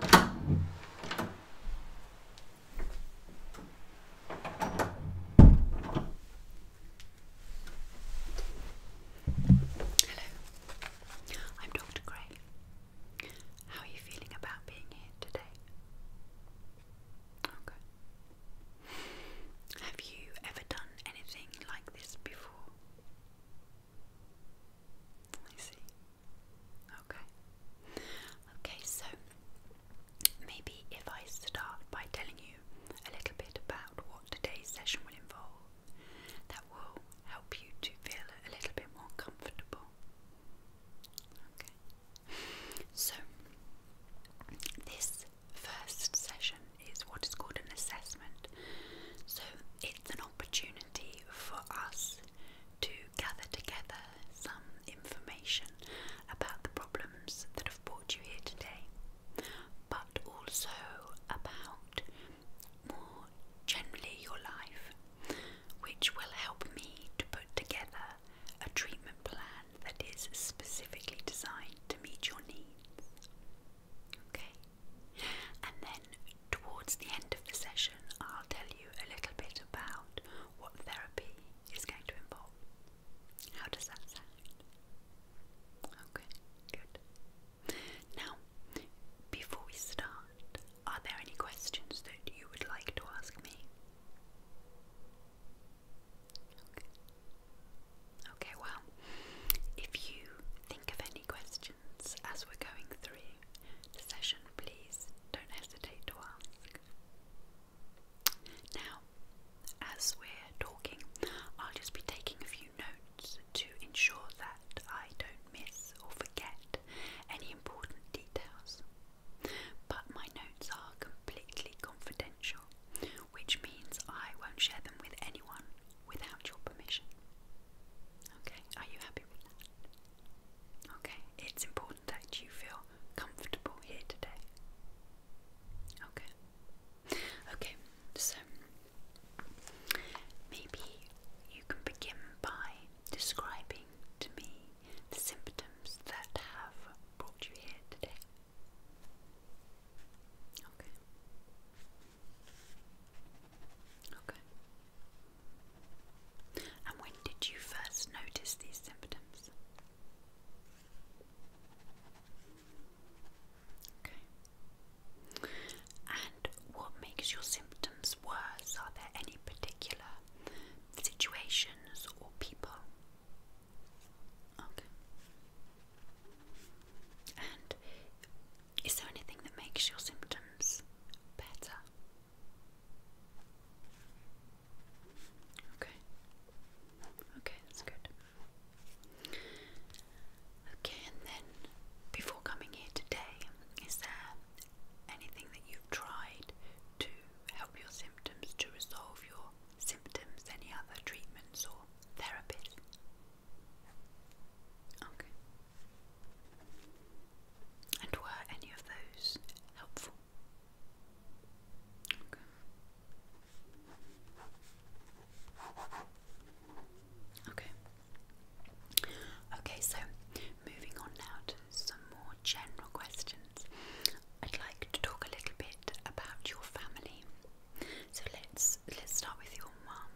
Hello, I'm Dr. Gray. How are you feeling about being here today? Okay. Have you ever done anything like this before? I see. Okay. Okay, so maybe if I start by telling you a little bit about what today's session will involve, that will help you to feel a little bit more comfortable. Okay. So, this first session is what is called an assessment. So, it's an opportunity for us to gather together some information about the problems that have brought you here today, but also about more generally your life, which will help me to put together a treatment plan that is specifically designed to meet your needs. Okay, and then towards the end of the session, I'll tell you a little bit about what therapy is going to involve. How does that sound? Okay, good. Now, before we start, are there any questions that you would like to ask me? Okay, well, if you think of any questions as we're going through the session, please don't hesitate to ask. Now, as we're talking, I'll just be taking a few notes to ensure that I don't miss or forget any important details. But my notes are completely confidential which means I won't share them with anyone without your permission. Okay, are you happy with that? Okay, it's important that you feel comfortable here today. Okay, okay, so maybe you can begin by describing to me the symptoms that have brought you here today. Okay. Okay. And when did you first notice these symptoms? Okay. And what makes your symptoms worse? Are there any particular situations or people? Okay. And is there anything that makes your symptoms better? Okay. Okay, that's good. Okay, and then before coming here today, is there anything that you've tried to help your symptoms to resolve your symptoms, any other treatments or therapies? Okay. And were any of those helpful? Okay. Okay. Okay, so moving on now some more general questions. I'd like to talk a little bit about your family. So let's let's start with your mum.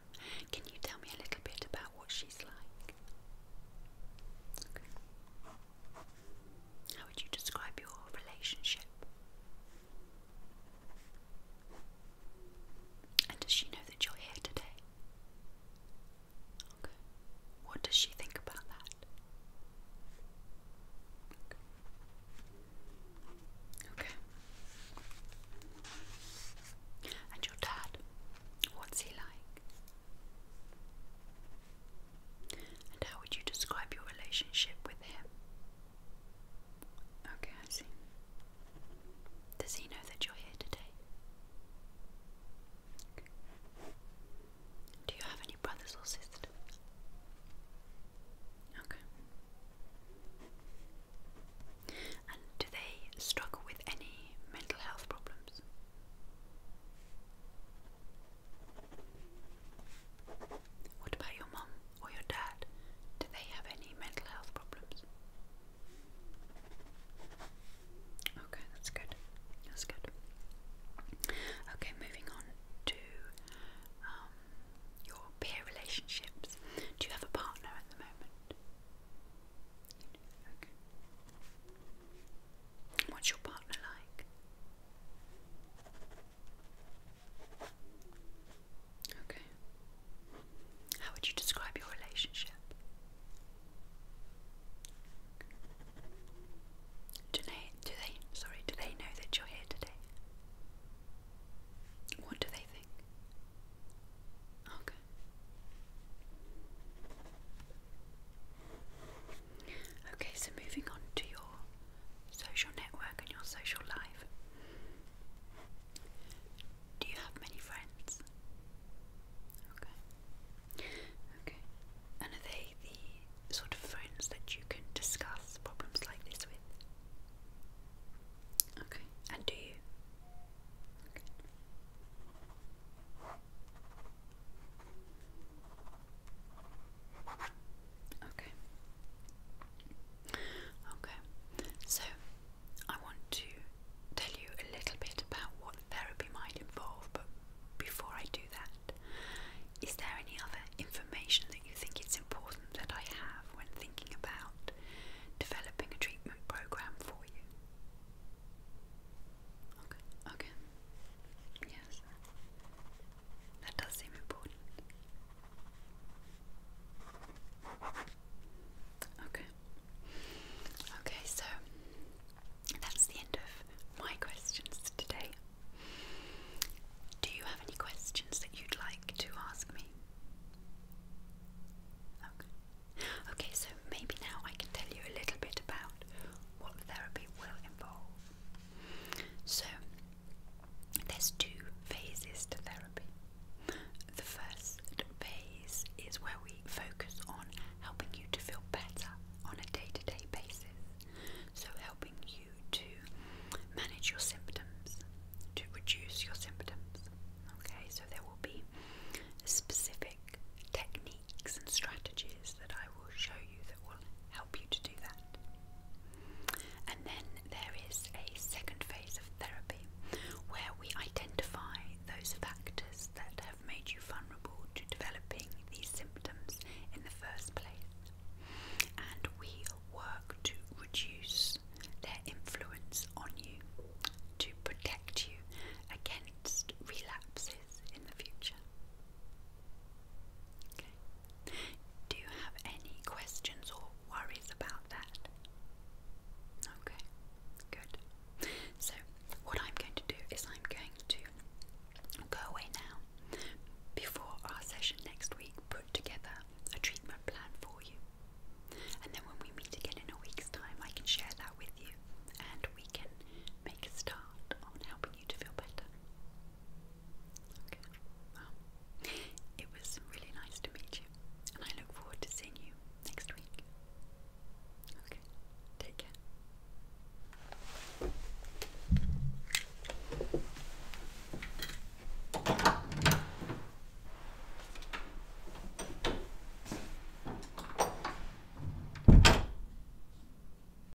Can you tell me a little bit about what she's like? How would you describe your relationship? And does she know that you're here today? Okay. What does she think about that? Okay. And your dad, what's he like? And how would you describe your relationship with him? Okay, I see. Does he know that you're here today? Do you have any brothers or sisters? Okay. And do they struggle with any mental health problems? What about your mum or your dad? Do they have any mental health problems? Okay, that's good. That's good. Okay, moving on to um, your peer relationships. Do you have a partner at the moment? What's your partner like? Okay. How would you describe your relationship? Do they, do they, sorry, do they know that you're here today? What do they think? Okay. Oh, okay, so moving on to your social network and your social life. Do you have many friends? Okay. Okay. And are they the sort of friends that you can discuss problems like this with? Okay. And do you? Okay. Okay. So I want to tell you a little bit about what therapy might involve, but before I do that, is there any other information that you think it's important that I have when thinking about developing a treatment program for you? Okay, okay. Yes. That does seem important. Okay. Okay, so that's the end of my questions today. Do you have any questions that you'd like to ask me? Okay. Okay, so maybe now I can tell you a little bit about what therapy will involve. So, there's two phases to therapy. The first phase is where we focus on helping you to feel better on a day to day basis. So, helping you to manage your symptoms, to reduce your symptoms. Okay, so there will be specific techniques and strategies that I will show you that will help you to do that. And then there is a second phase of therapy where we identify those factors that have made you vulnerable to developing these symptoms in the first place. And we work to reduce their influence on you to protect you against relapses in the future. Okay. Do you have any questions or worries about that? Okay, good. So, what I'm going to do is I'm going to go away now before our session next week, put together a treatment plan for you. And then when we meet again in a week's time, I can share that with you and we can make a start on helping you to feel better. Okay. Well, it was really nice to meet you, and I look forward to seeing you next week. Okay, take care.